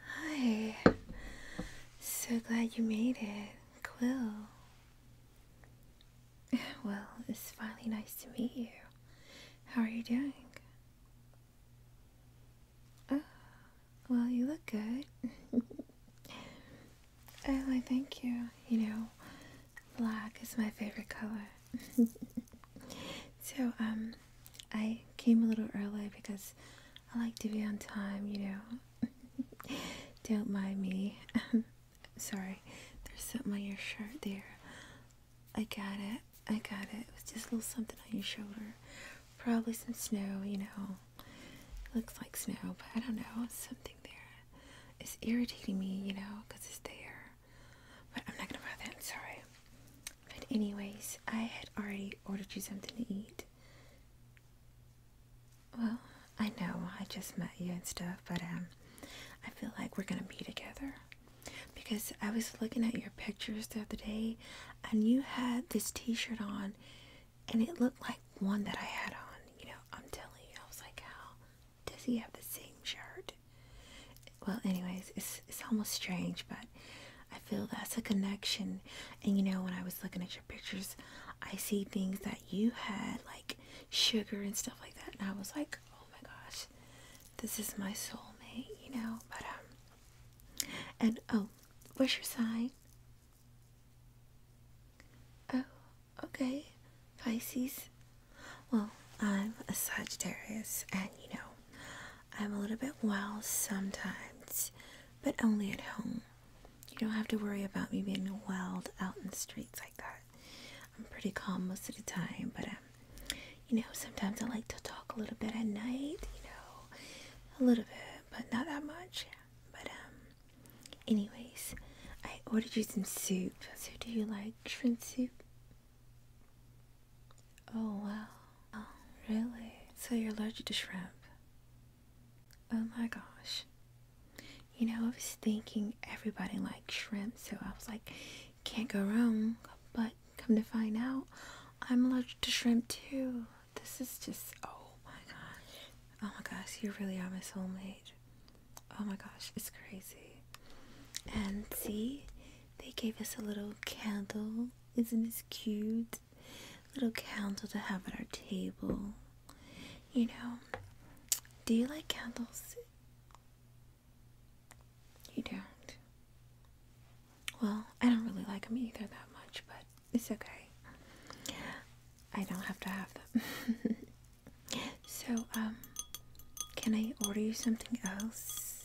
Hi. So glad you made it, Quill. Well, it's finally nice to meet you. How are you doing? Oh, well, you look good. oh, I thank you. You know, black is my favorite color. so, um, I came a little early because I like to be on time, you know. Don't mind me. Sorry, there's something on your shirt there. I got it. I got it. It was just a little something on your shoulder. Probably some snow, you know. looks like snow, but I don't know. Something there is irritating me, you know, because it's there. But I'm not gonna buy that, sorry. But anyways, I had already ordered you something to eat. Well, I know I just met you and stuff, but um I feel like we're gonna be together. Because I was looking at your pictures the other day and you had this t shirt on and it looked like one that I had on, you know, I'm telling you, I was like, how does he have the same shirt? Well, anyways, it's, it's almost strange, but I feel that's a connection. And you know, when I was looking at your pictures, I see things that you had, like sugar and stuff like that. And I was like, oh my gosh, this is my soulmate, you know? But, um, and oh, what's your sign? Oh, okay, Pisces. Well, I'm a Sagittarius, and you know, I'm a little bit wild sometimes, but only at home. You don't have to worry about me being wild out in the streets like that. I'm pretty calm most of the time, but um, you know, sometimes I like to talk a little bit at night, you know, a little bit, but not that much. But um, Anyways, I ordered you some soup. So do you like shrimp soup? Oh wow. Oh, really? So you're allergic to shrimp? Oh my gosh. You know, I was thinking everybody likes shrimp, so I was like, can't go wrong. But come to find out, I'm allergic to shrimp too. This is just, oh my gosh. Oh my gosh, you really are my soulmate. Oh my gosh, it's crazy. And see, they gave us a little candle. Isn't this cute? little candle to have at our table. You know, do you like candles? You don't. Well, I don't really like them either that much, but it's okay. I don't have to have them. so, um, can I order you something else?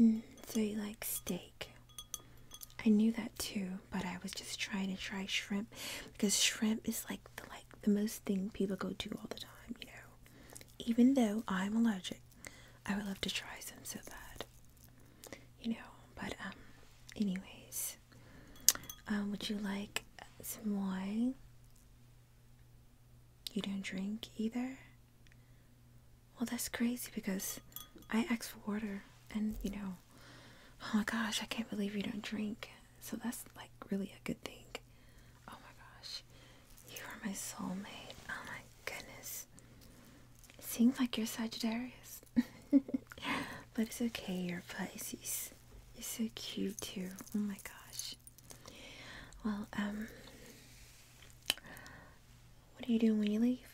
Mm, so you like steak? I knew that too, but I was just trying to try shrimp because shrimp is like the like the most thing people go to all the time, you know. Even though I'm allergic I would love to try some so bad. You know, but um, anyways, um, would you like some wine? You don't drink either. Well, that's crazy because I asked for water, and you know, oh my gosh, I can't believe you don't drink. So that's like really a good thing. Oh my gosh. You are my soulmate. Oh my goodness. It seems like you're Sagittarius. but it's okay, you're Pisces. You're so cute too. Oh my gosh. Well, um what are you doing when you leave?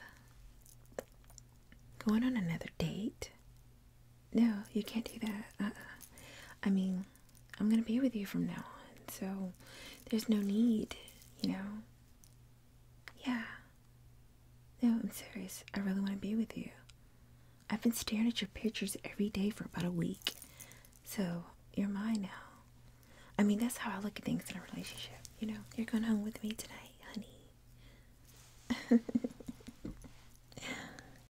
Going on another date? No, you can't do that. Uh-uh. I mean, I'm going to be with you from now on. So there's no need, you know? Yeah. No, I'm serious. I really want to be with you. I've been staring at your pictures every day for about a week. So you're mine now. I mean, that's how I look at things in a relationship. You know, you're going home with me tonight, honey.